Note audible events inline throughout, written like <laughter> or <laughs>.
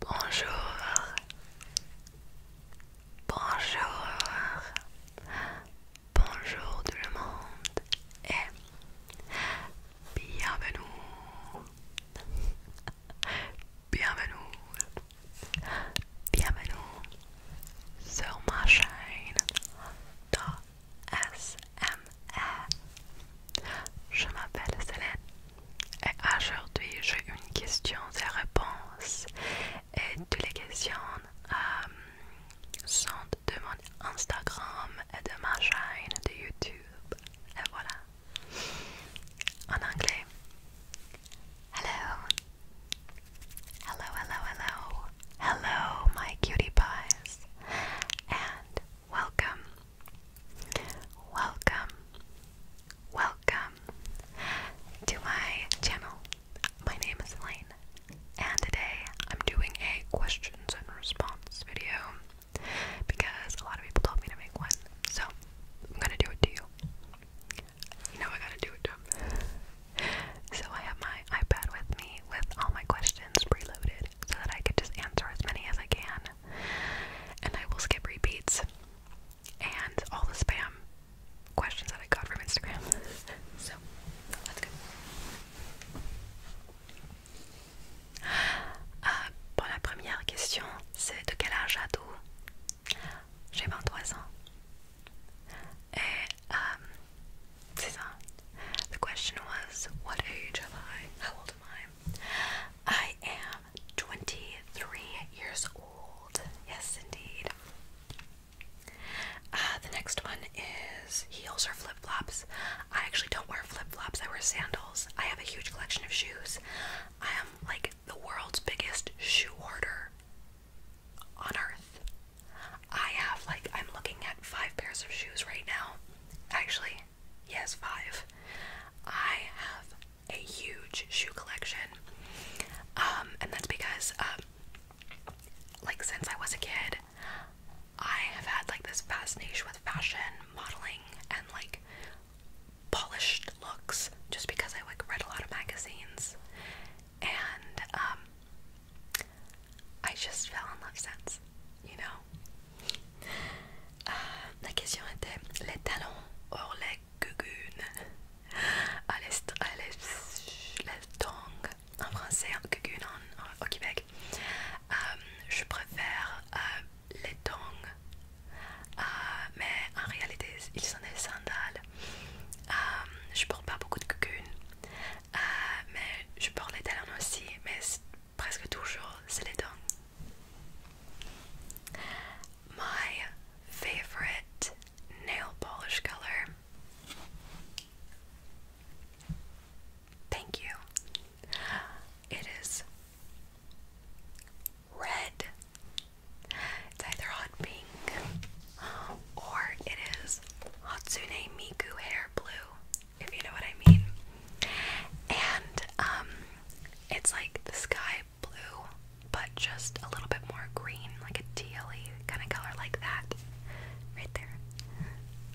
Bonjour. Bonjour. Bonjour tout le monde et bienvenue. Bienvenue. Bienvenue sur ma chaîne Je m'appelle Céline et aujourd'hui j'ai une question et réponse et toutes les questions euh, sont de mon Instagram et de ma chaîne de YouTube. Et voilà. En anglais. Hello. Hello, hello, hello. Hello, my cutie pies. And welcome. Welcome. Welcome to my channel. My name is Elaine, and today I'm doing a questions and response video because a lot of people told me to make one. So, I'm going to do it to you. You know I got to do it to so I have my iPad with me with all my questions preloaded so that I could just answer as many as I can. And I will skip repeats and all the spam questions that I got from Instagram. <laughs> so let's go. Euh, pour la première question, c'est de quel âge as-tu? J'ai 23 ans. Eh, um, the question was, what age am I? How old am I? I am 23 years old. Yes, indeed. Uh, the next one is heels or flip flops. I actually don't wear flip flops, I wear sandals. I have a huge collection of shoes. I am like the world's biggest shoe order." on earth. I have, like, I'm looking at five pairs of shoes right now. Actually, yes, five. I have a huge shoe collection. Um, and that's because, um, like, since I was a kid, I have had, like, this fascination with fashion, modeling, and, like, polished looks just because I like read a lot of magazines, and um, I just fell in love since, you know. Uh, la question était les talons or les gugunes à ah, ah, les tongs en français, gugunes en, en, au Québec. Um, je préfère uh, les tongs Euh, mais en réalité ils sont des sandales. Je euh, je porte pas beaucoup de cocoons. Euh, mais je porte les talons aussi, mais presque toujours c'est les dents. My favorite nail polish color. Thank you. It is red. It's either hot pink or it is Hatsune Miku hair blue, if you know what I mean. And um it's like the sky blue, but just a little bit more green, like a tealy kind of color like that. Right there.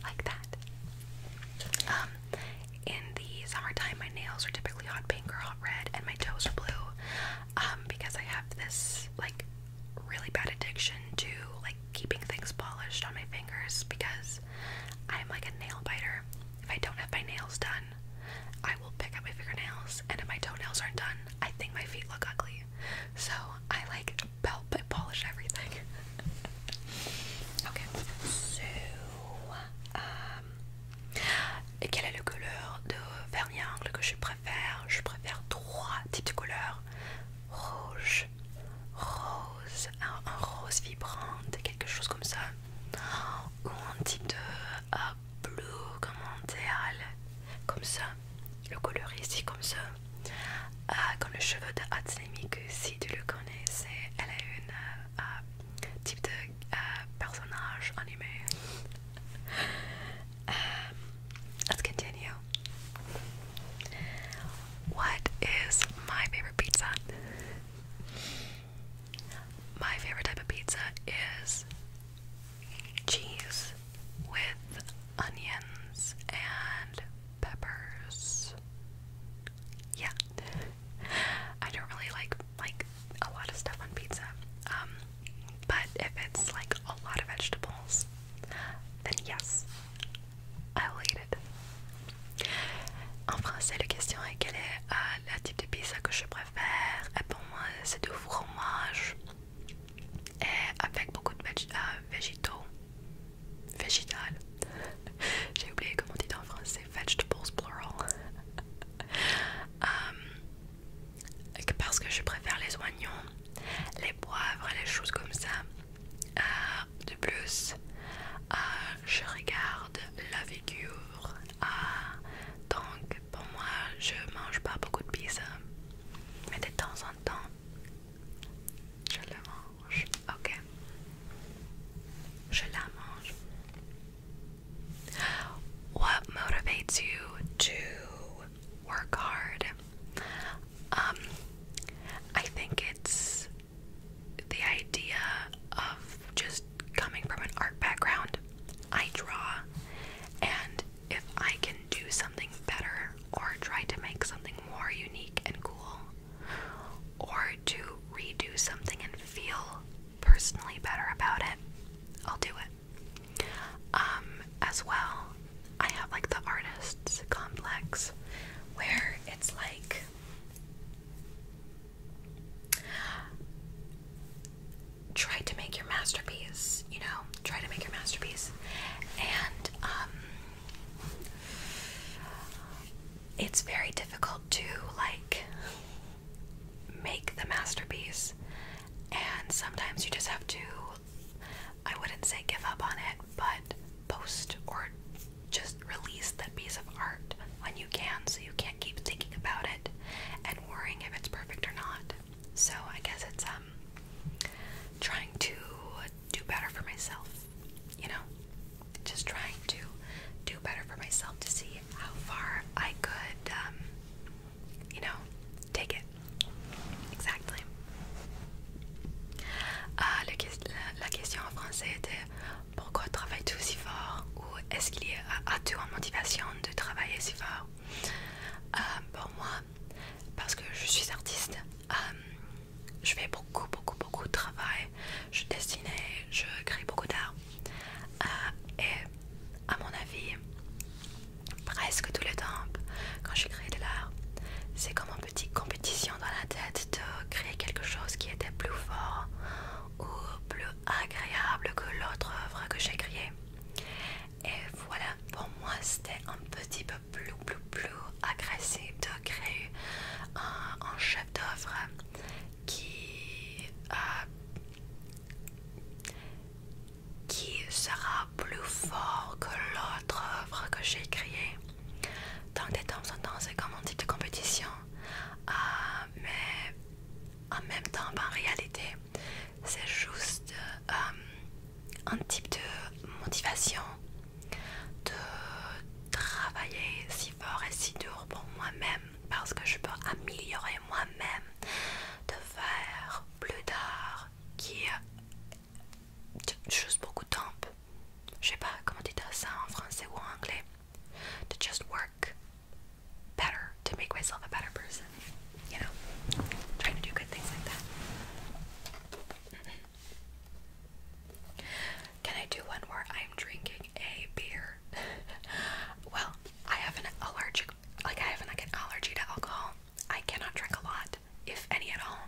Like that. Um in the summertime my nails are typically hot pink or hot red and my toes are blue um, because I have this like really bad addiction to like keeping things polished on my fingers because I'm like a nail biter. If I don't have my nails done, I will pick up my fingernails, and if my toenails aren't done, I think my feet look ugly. So I like belt but polish everything. <laughs> okay, so. Uh, Et quelle est la couleur de vernis que je préfère Je préfère trois types de couleurs rouge, rose, un, rose vibrant, quelque chose comme ça, ou un type de euh, bleu comme un comme ça, le couleur ici comme ça, euh, comme le cheveux de Hatsune si tu le connais, elle a une euh, type de Euh, personnage animé. Euh, let's continue. What is my favorite pizza? My favorite type of pizza is cheese with onions and peppers. Yeah, <laughs> I don't really like like a lot of stuff on pizza. Um, but if it's like a lot of vegetables, then yes, I will eat it. En français, la question est quel est euh, type de pizza que je préfère? Et pour moi, c'est du fromage et avec beaucoup de euh, végétaux. Végétal. <laughs> J'ai oublié comment on en français. vegetables plural. <laughs> Hum, parce que je préfère les oignons, les poivres, les choses comme ça. Euh, de plus, euh, je regarde la figure. Euh, donc pour moi, je mange pas beaucoup de pizza, mais de temps en temps, je la mange. Ok, je la mange. What motivates you to work hard? Um, I think it's the idea of just coming from an art background. I draw, and if I can do something better or try to make something more unique and cool, or to redo something and feel personally better about it, I'll do it. Um, as well, I have like the artist's complex where it's like try to make your masterpiece, you know, try to make your masterpiece. And um it's very difficult to like make the masterpiece and sometimes you just have to I wouldn't say give up on it but post or just release that piece of art when you can so you can't keep thinking about it and worrying if it's perfect or not. So I guess it's um trying to do better for myself you know, just trying to do better for myself to see how far I could, um, you know, take it. Exactly. Ah, la, la question en français était pourquoi travailles-tu si fort ou est-ce qu'il y a-tu une motivation de travailler si fort ah, Pour moi, parce que je suis artiste, um, je fais beaucoup, beaucoup, beaucoup de travail. Je dessine, je crée beaucoup d'art. Euh, et à mon avis, presque tout le temps, quand je crée de l'art, c'est comme une petite compétition dans la tête de créer quelque chose qui était plus fort ou plus agréable que l'autre œuvre que j'ai créée. Et voilà, pour moi, c'était un petit peu plus, plus, plus agressif de créer un, chef d'œuvre qui, euh, qui sera plus fort que l'autre œuvre que j'ai créée. Donc des temps en temps, c'est comme un type de compétition. Euh, mais en même temps, ben, en réalité, c'est juste euh, un type de motivation de travailler si fort et si dur pour moi-même parce que je peux améliorer moi-même, de faire plus d'art qui juste beaucoup de temps. Je sais pas comment tu dis ça en français ou en anglais. To just work better, to make myself a better person. You know, trying to do good things like that. Can I do one where I'm drinking a beer? <laughs> well, I have an allergic like I have like an allergy to alcohol. I cannot drink a lot, if any at all.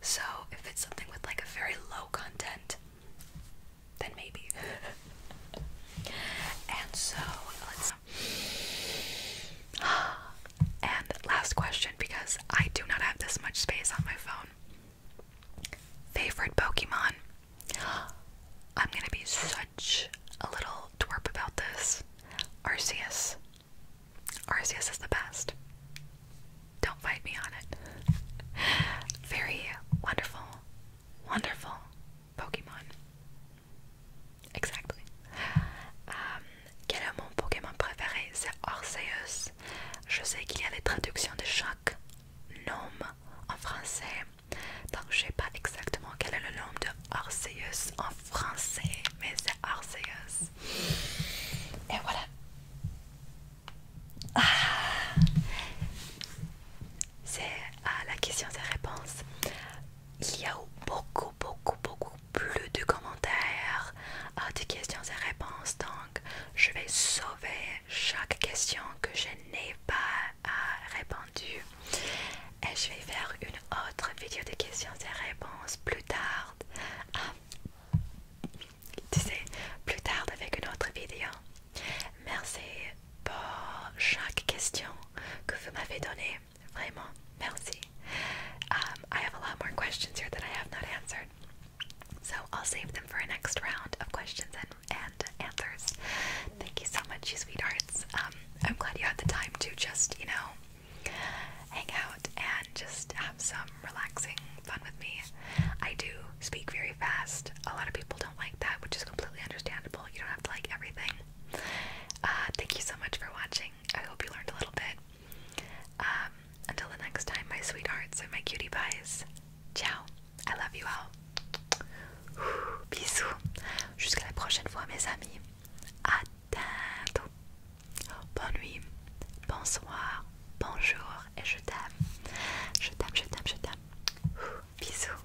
So if it's something with like a very low content, then maybe. <laughs> and so let's <sighs> <sighs> And last question because I do not have this much space on my phone. Favorite Pokemon? I'm gonna be such a little twerp about this. Arceus. Arceus is the best. Don't fight me on it. <laughs> Very wonderful, wonderful Pokemon. Exactly. Um, Quel est mon Pokémon préféré C'est Orseus. Je sais qu'il y a les traductions de chaque nom en français. Donc je sais pas exactement quel est le nom de Orseus en français, mais c'est Orseus. Et voilà. Ah. C'est à ah, la question, des réponse. Il y a beaucoup, beaucoup, beaucoup, plus de commentaires, ah, de questions et réponses. Donc, je vais sauver chaque question que je n'ai pas ah, répondu Et je vais faire une autre vidéo de questions et réponses plus tard. Ah, tu sais, plus tard avec une autre vidéo. Merci pour chaque question que vous m'avez donnée. Vraiment, merci. Um, I have a lot more questions here that I have not answered, so I'll save them for a next round of questions and, answers. Thank you so much, you sweethearts. Um, I'm glad you had the time to just, you know, hang out and just have some relaxing fun with me. I do speak very fast. A lot of people don't like that, which is completely understandable. You don't have to like everything. Uh, thank you so much for watching. I hope you learned a little bit. Um, until the next time, my sweethearts and my cutie pies. Ciao. I love you all. Ouh, <sighs> bisous. Jusqu'à la prochaine fois, mes amis. À bientôt. nuit. Bonsoir. Bonjour. Et je t'aime. Je t'aime, je t'aime, je t'aime. <sighs> Bisous.